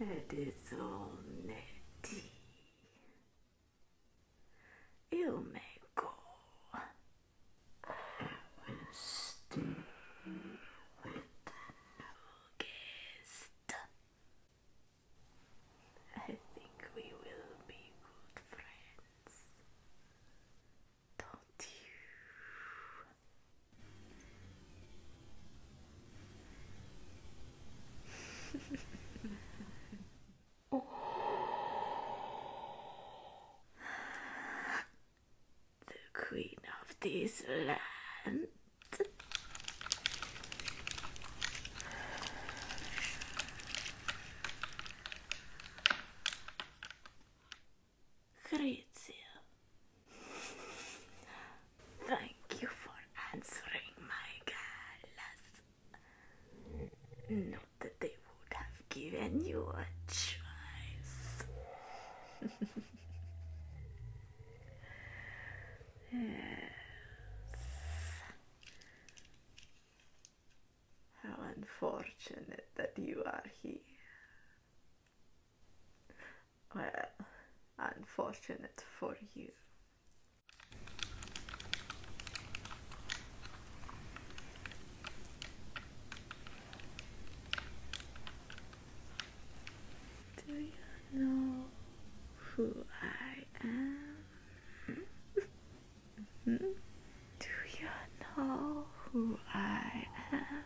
It is all netty. You may go and stay with the guest. I think we will be good friends oh. The queen of this land. Grazia. Thank you for answering my call. Not that they would have given you a choice. yes. How unfortunate that you are here. Well, unfortunate for you. Do you know who I am? Do you know who I am?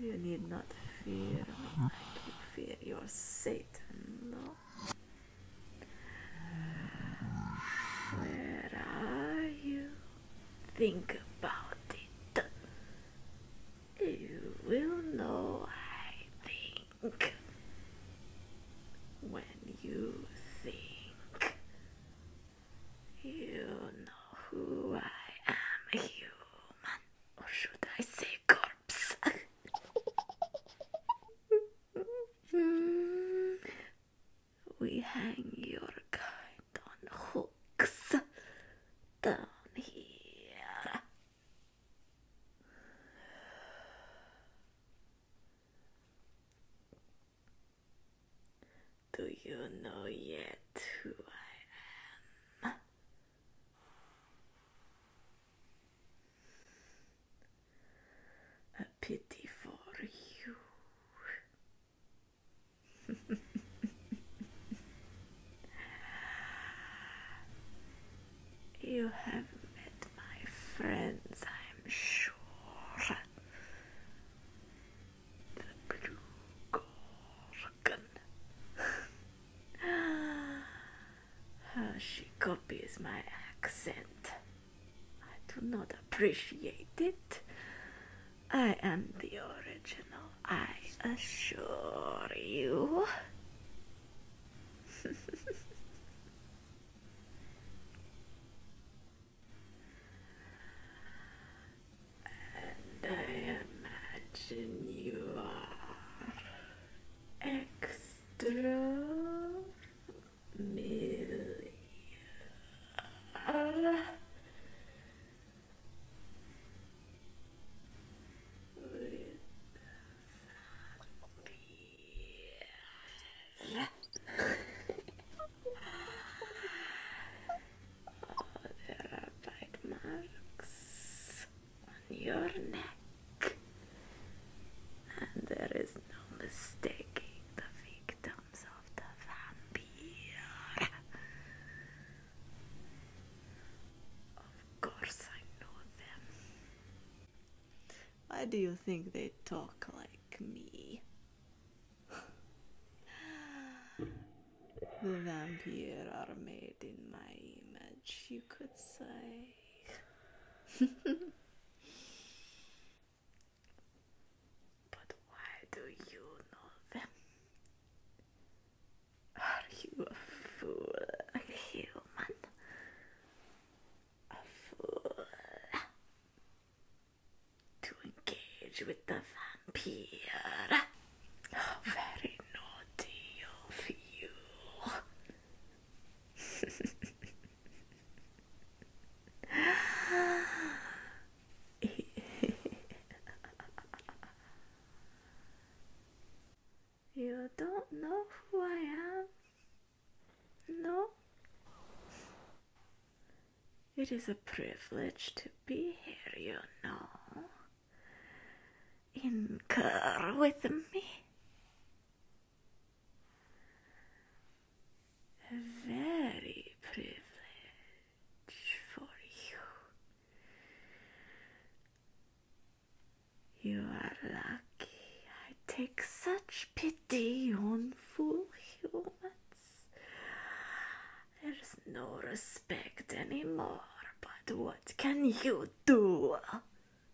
you need not fear me. I don't fear your Satan, no. Where are you? Think about it. You will know, I think. When you think you know who I am, a human. Or should I say corpse? we hang your kind on hooks down here. Do you know yet who I am? A pity for you. you have met my friends, I'm sure the blue gorgon. How she copies my accent. I do not appreciate it. I am the original, I assure you. And I imagine you are extra million there are bite marks on your neck, and there is no mistaking the victims of the vampire. Of course, I know them. Why do you think they talk like me? the vampire are made in my image, you could say. but why do you know them? Are you a fool, human? A fool to engage with the vampire. very naughty of you. you don't know who I am? No? It is a privilege to be here, you know. Incur with me. A very privilege for you. You are lucky. I take such pity on fool humans. There's no respect anymore, but what can you do?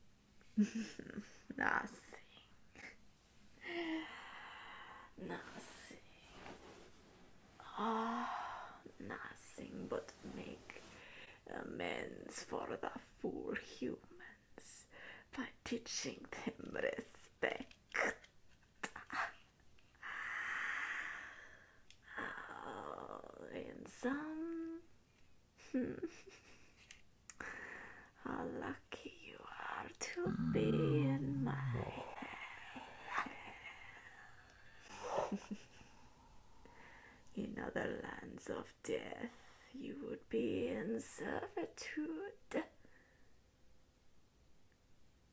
Nothing. Nothing. Oh, nothing but make amends for the fool humans by teaching them respect. How handsome. How lucky you are to be in mm, my hair. in other lands of death, you would be in servitude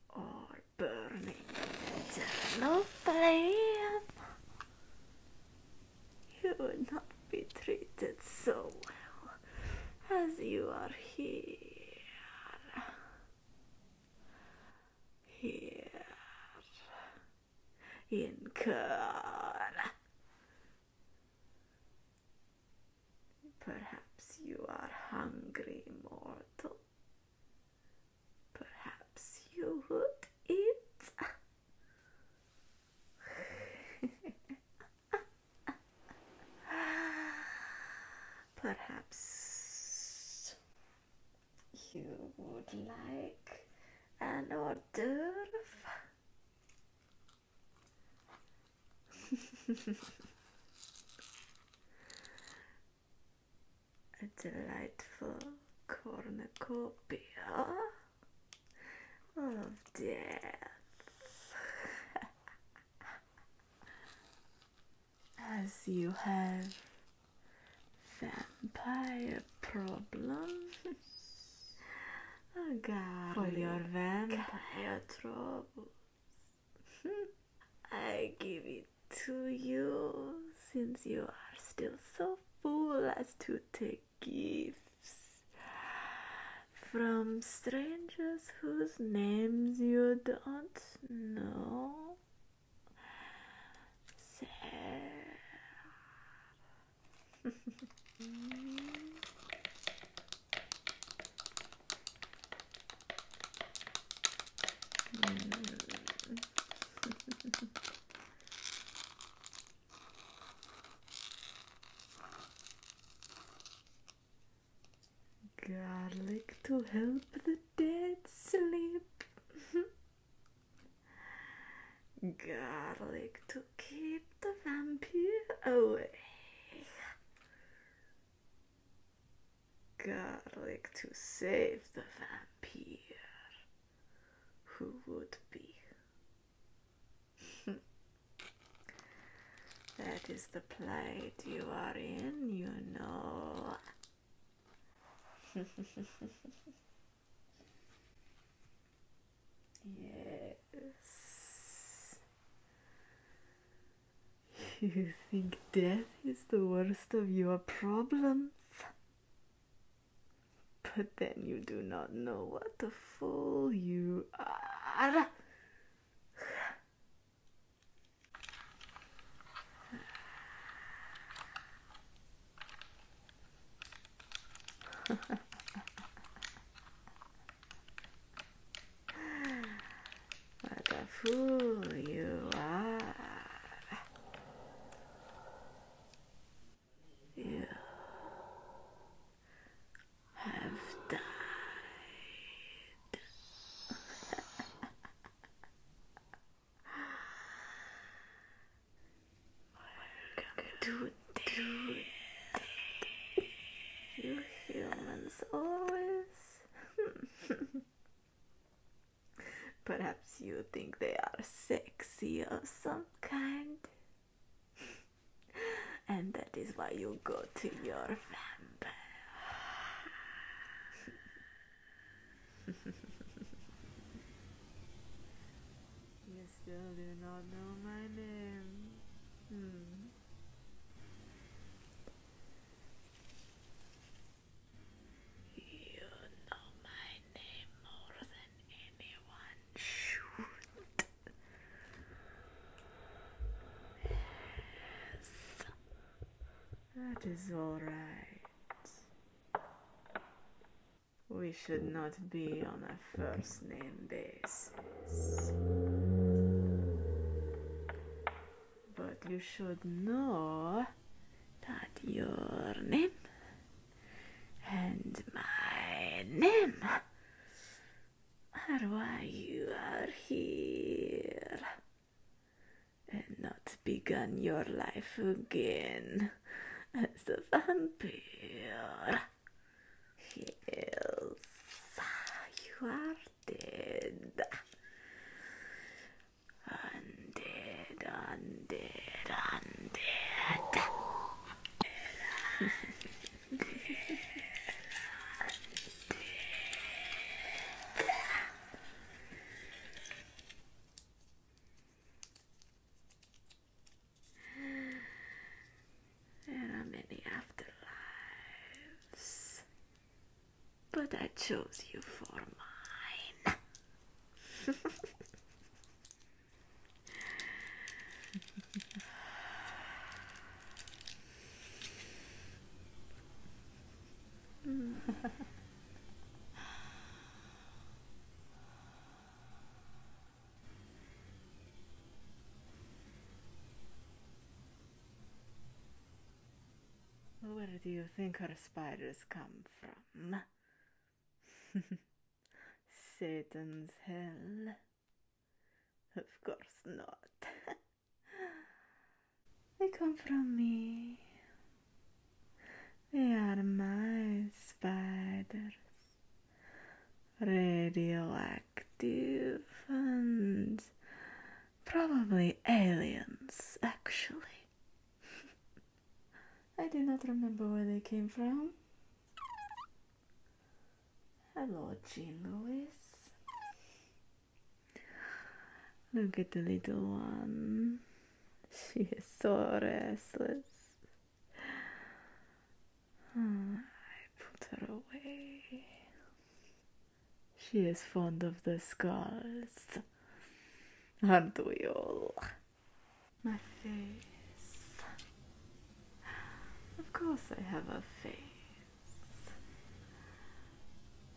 or burning eternal flame. You would not be treated so well as you are here. Here in Kern. Perhaps you are hungry, mortal. Perhaps you would eat. Perhaps you would like an hors d'oeuvre. a delightful cornucopia of death. As you have vampire problems. Oh God, for your vampire trouble. I give it to you since you are still so fool as to take gifts from strangers whose names you don't know. Mm. Garlic to help the dead sleep. Garlic to keep the vampire away garlic to save the vampire. Who would be? that is the plight you are in, you know. yes. You think death is the worst of your problems? But then you do not know what a fool you are. What a fool you are. have died. Welcome to death. You humans always. Perhaps you think they are sexy of some kind, and that is why you go to your vampire. you still do not know my name. Hmm. You know my name more than anyone should. Yes, that is all right. We should not be on a first name basis but you should know that your name and my name are why you are here and not begun your life again as a vampire. Yes, you are dead. Undead, undead, undead. There are many afterlives but I chose you for mine. Where do you think our spiders come from? Satan's hell? Of course not. they come from me. They are my spiders. Radioactive and probably aliens, actually. I do not remember where they came from. Hello, Jean Louis. Look at the little one. She is so restless. Ah, I put her away. She is fond of the scars. Aren't we all? My face. Of course, I have a face.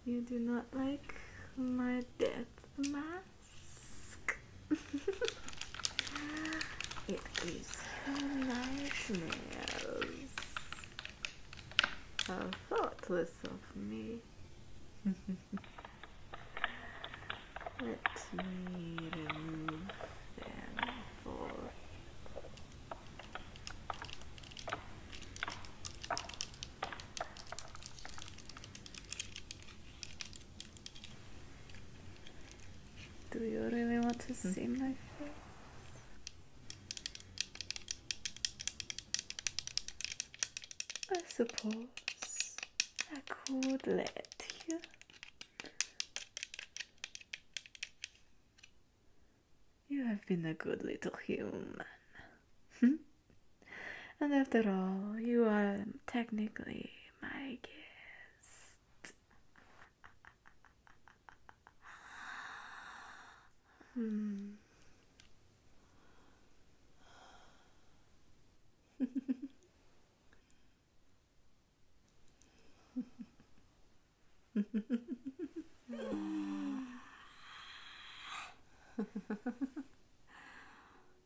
You do not like my death mask? it is her nightmares. How thoughtless of me see. Do you really want to see my face? I suppose I could let you. You have been a good little human. Hmm? and after all, you are technically my guest. hmm.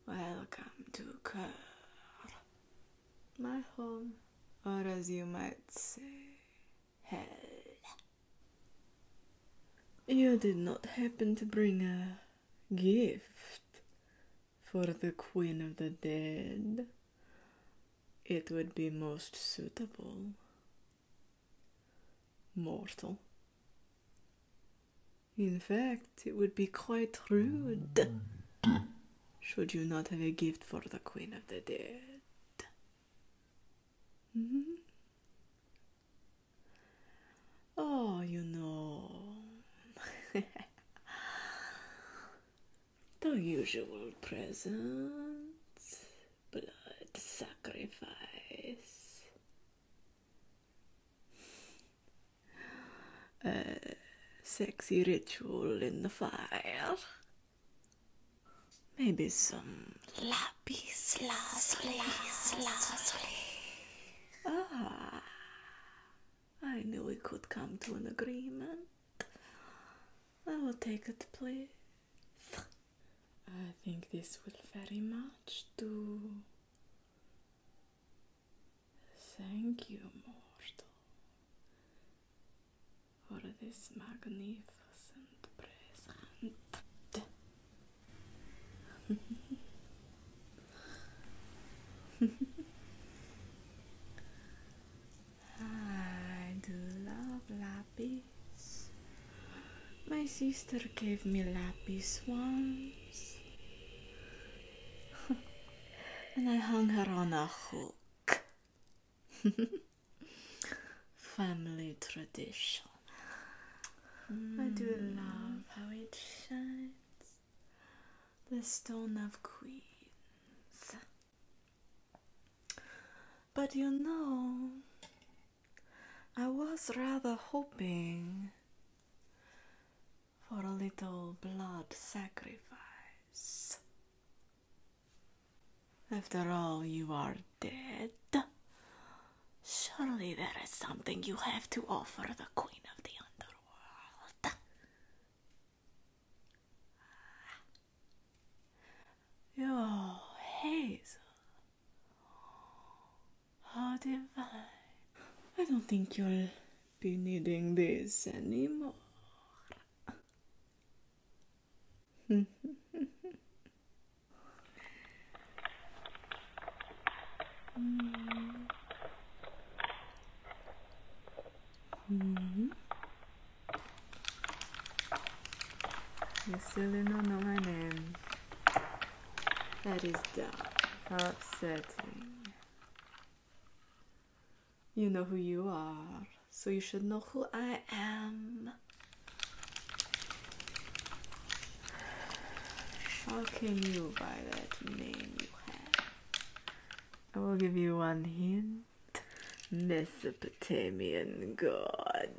Welcome to Kerr, my home, or as you might say, hell. You did not happen to bring a gift for the Queen of the Dead. It would be most suitable. Mortal. In fact, it would be quite rude should you not have a gift for the Queen of the Dead. Hmm? Oh, you know. the usual presents, blood sacrifice. A sexy ritual in the fire. Maybe some lava. Peace, sloppy, sloppy. Ah, I knew we could come to an agreement. I will take it, please. I think this will very much do. Thank you, mortal, for this magnificent present. I do love lapis. My sister gave me lapis once, and I hung her on a hook. Family tradition. I do love how it shines. The stone of queens. But you know, I was rather hoping for a little blood sacrifice. After all, you are dead. Surely there is something you have to offer the Queen of the Underworld. Your hazel. How divine. I don't think you'll be needing this anymore. Mm-hmm. You still do not know my name. That is dumb. upsetting. You know who you are, so you should know who I am. How can you by that name you have. I will give you one hint. Mesopotamian god.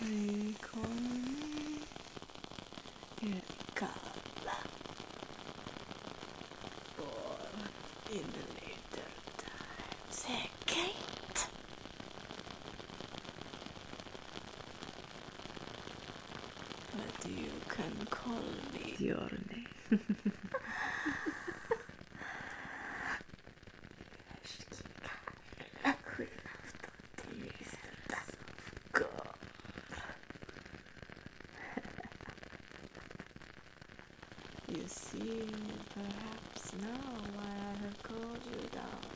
They but you can call me your name. You see, perhaps now why I have called you down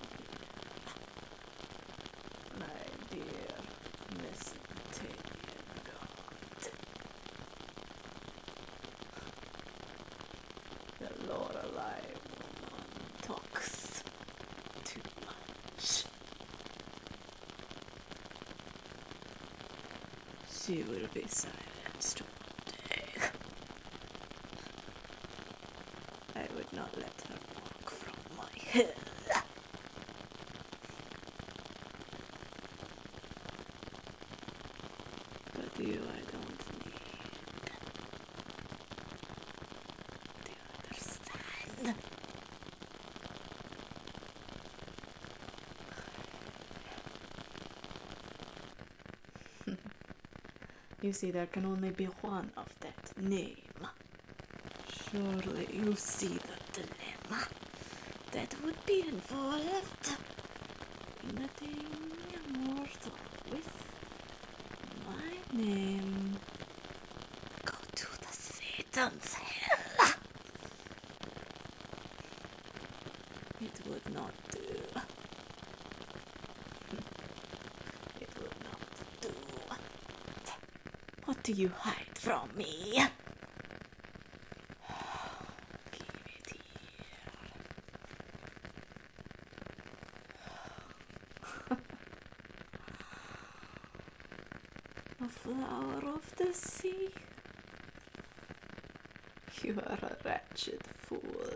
my dear Miss Tillian The Lord of woman talks too much. She will be silenced one day. I would not let her walk from my head. But you I don't need. Do you understand? You see, there can only be one of that name. Surely you see the dilemma that would be involved in attaining a mortal with my name. Go to the Satan's hell! It would not do. What do you hide from me? Give it here. A flower of the sea. You are a wretched fool.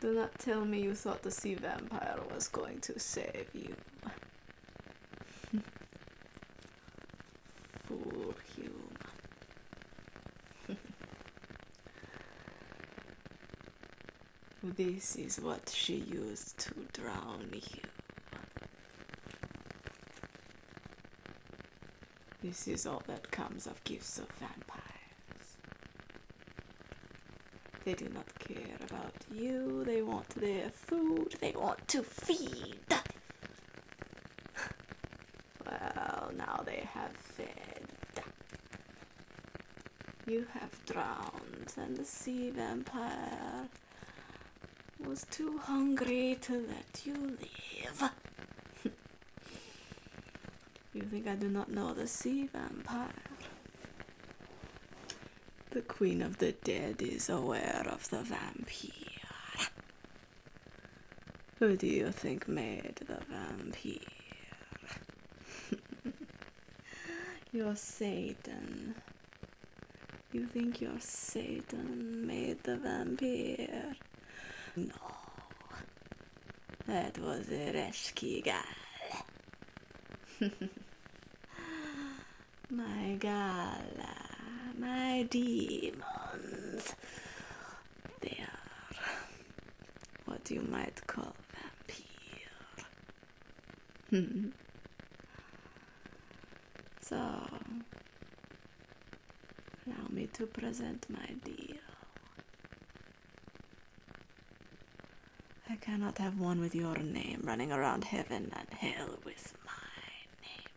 Do not tell me you thought the sea vampire was going to save you. fool human. this is what she used to drown you. This is all that comes of gifts of vampire. They do not care about you. They want their food. They want to feed. well, now they have fed. You have drowned, and the sea vampire was too hungry to let you live. You think I do not know the sea vampire? The queen of the dead is aware of the vampire. Who do you think made the vampire? you're Satan. You think you're Satan made the vampire? No. That was a rescue gal. my gala, my demons. They are what you might call vampire. so, allow me to present my deal. I cannot have one with your name running around heaven and hell with my name.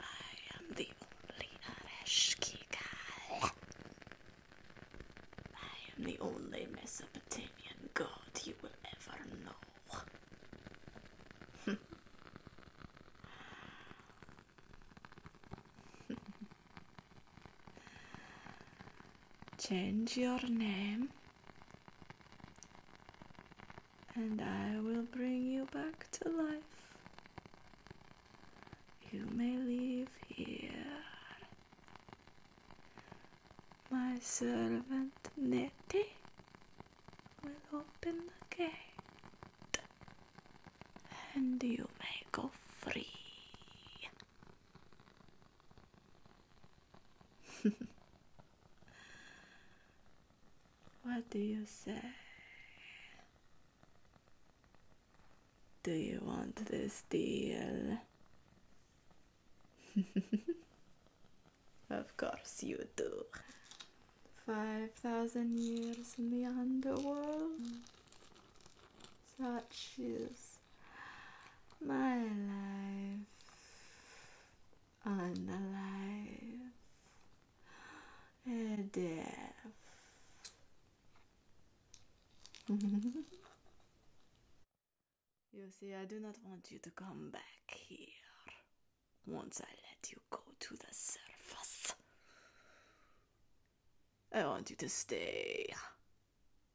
I am the only Areshkigal. I am the only Mesopotamian god you will ever know. Change your name, and I will bring you back to life. You may live here. My servant Nettie will open the gate and you may go free. what do you say? Do you want this deal? of course you do. 5,000 years in the underworld. Such my life unalive and deaf. you see, I do not want you to come back here once I let you go to the surface. I want you to stay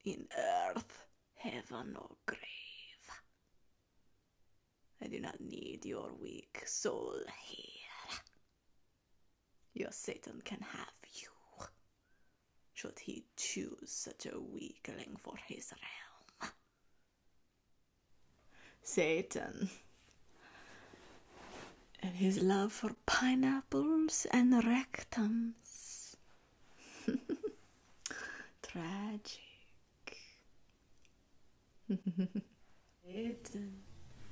in earth, heaven, or grave. I do not need your weak soul here. Your Satan can have you, should he choose such a weakling for his realm. Satan and his love for pineapples and rectums. Tragic.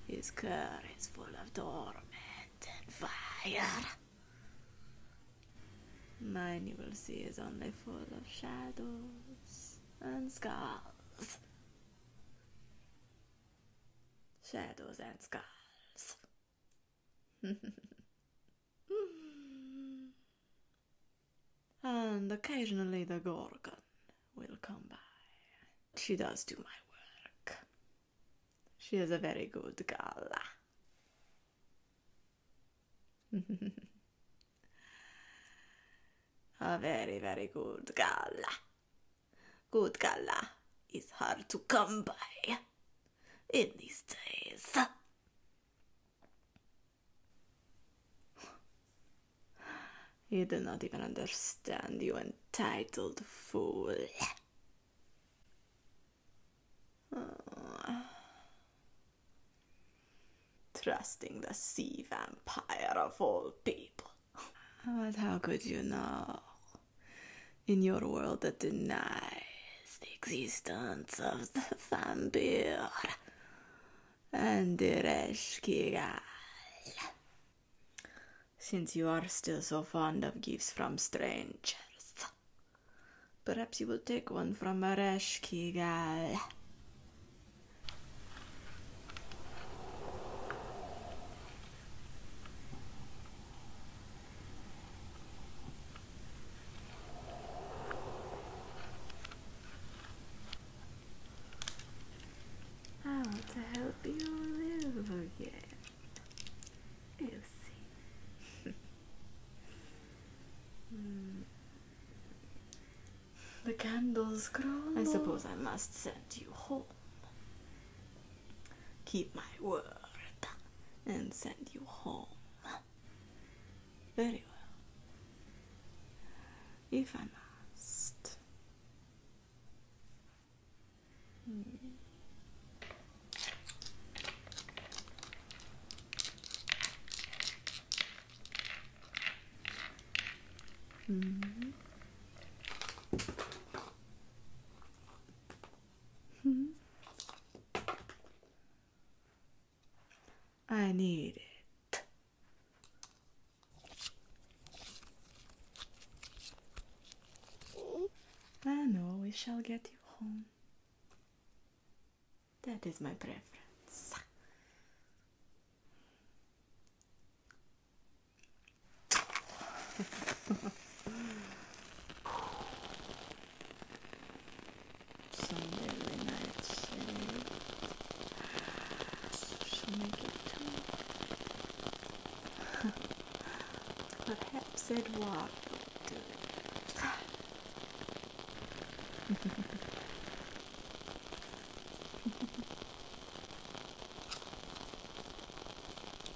his car is full of torment and fire. Mine, you will see, is only full of shadows and scars. Shadows and skulls. and occasionally the Gorgon will come by. She does do my work. She is a very good girl. a very, very good girl. Good gala is hard to come by in these days. You do not even understand, you entitled fool. Trusting the sea vampire of all people. But how could you know? In your world that denies the existence of the vampire and the Reshkigal. Since you are still so fond of gifts from strangers, perhaps you will take one from a Reshkigal. I want to help you live again. you see. The candles grow. I suppose I must send you home keep my word and send you home. Very well. If I must. Hmm. Hmm. Hmm? I need it. I know we shall get you home. That is my preference. Sunday night save. She'll make it Perhaps Edward will do it.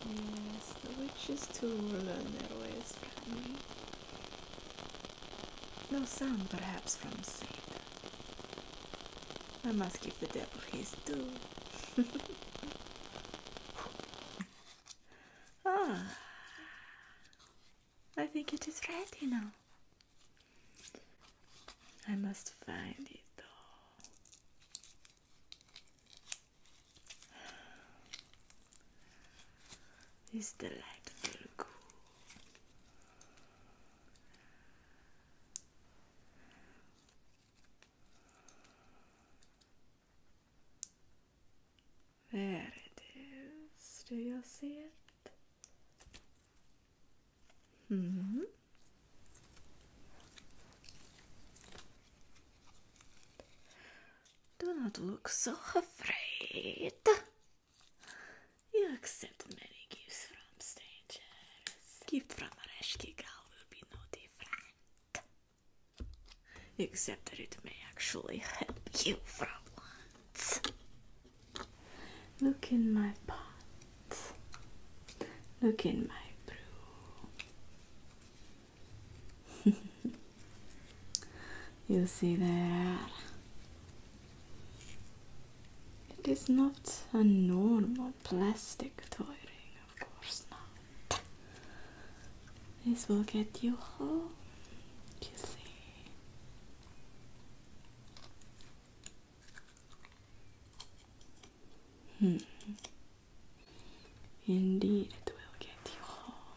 Yes, the witch's too and their ways me. No sound perhaps from Satan. I must give the devil his due. ah, I think it is ready now. I must find it though. This delightful cool. There it is. Do you see it? hmm. Do not look so afraid. You accept many gifts from strangers. Gift from Arashki Gal will be no different. Except that it may actually help you for once. Look in my pot. Look in my brew. you see that it is not a normal plastic toy ring of course not this will get you home you see Hmm. Indeed, it will get you home.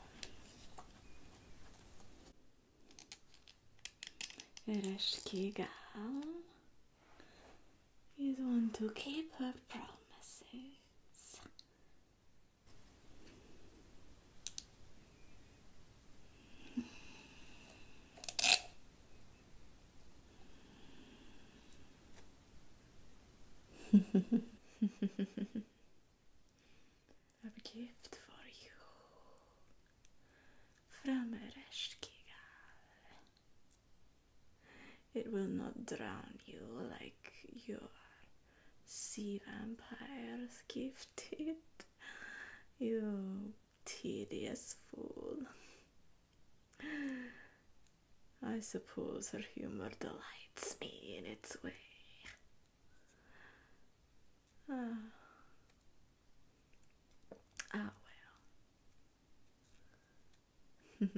Ereshkigal is one to keep her promises. I have a gift for you from Ereshkigal. It will not drown you like your sea vampires gifted. You tedious fool. I suppose her humor delights me in its way. Ah, ah well.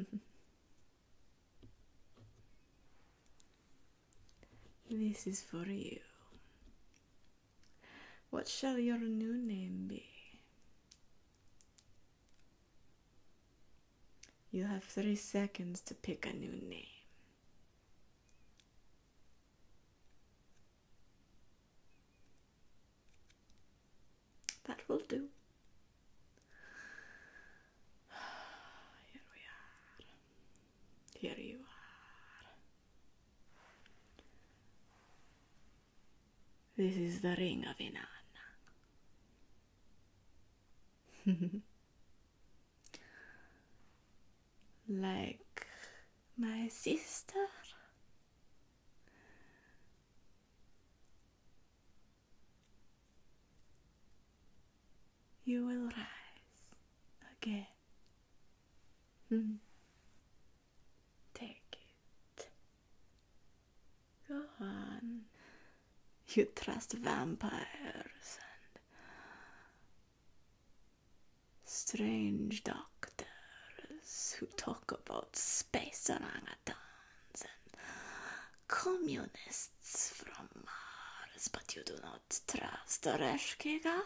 this is for you. What shall your new name be? You have three seconds to pick a new name. That will do. Here we are. Here you are. This is the ring of Inanna. like my sister? You will rise again. Take it. Go You trust vampires and strange doctors who talk about space orangutans and communists from Mars, but you do not trust Oreshkigal?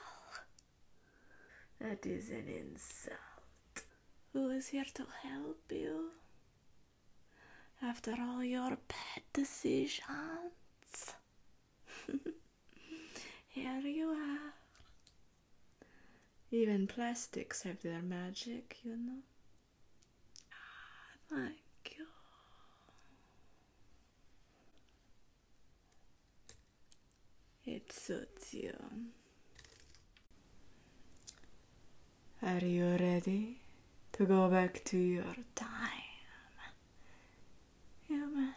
That is an insult. Who is here to help you? after all your bad decisions. Here you are. Even plastics have their magic, you know. Ah, thank you. It suits you. Are you ready to go back to your time, human?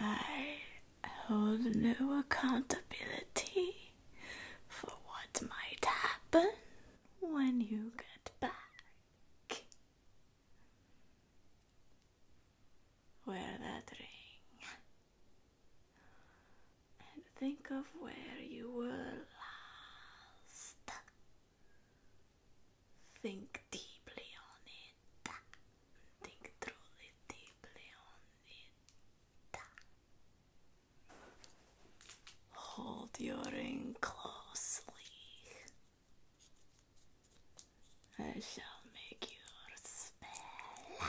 I hold no accountability for what might happen when you get back. Wear that ring and think of where you were last. Think deeply on it. Think truly deeply on it. Hold your ring closely. I shall make your spell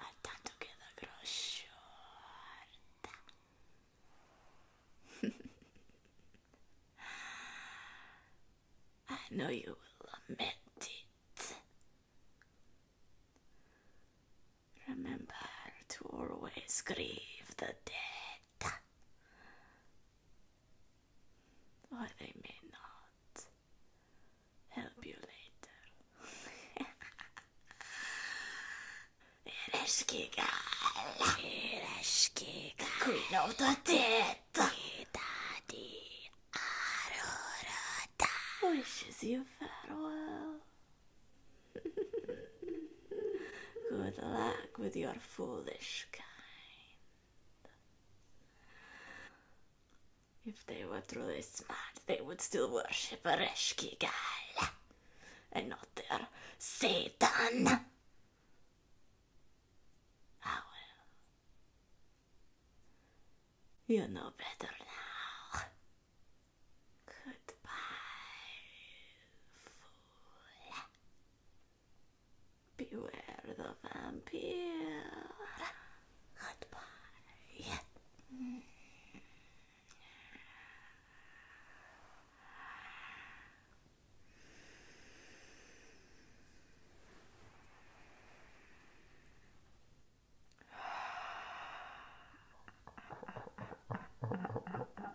I've done together short. I know you will lament it. Remember to always grieve the dead that. Or they may not help you later. Ireshki girl, Queen of the Dead, Daddy Arurata wishes you farewell. Good luck with your foolish kind. If they were truly smart, they would still worship Gal, and not their Satan. Ah, well. You know better now. Goodbye, fool. Beware the vampire. Goodbye.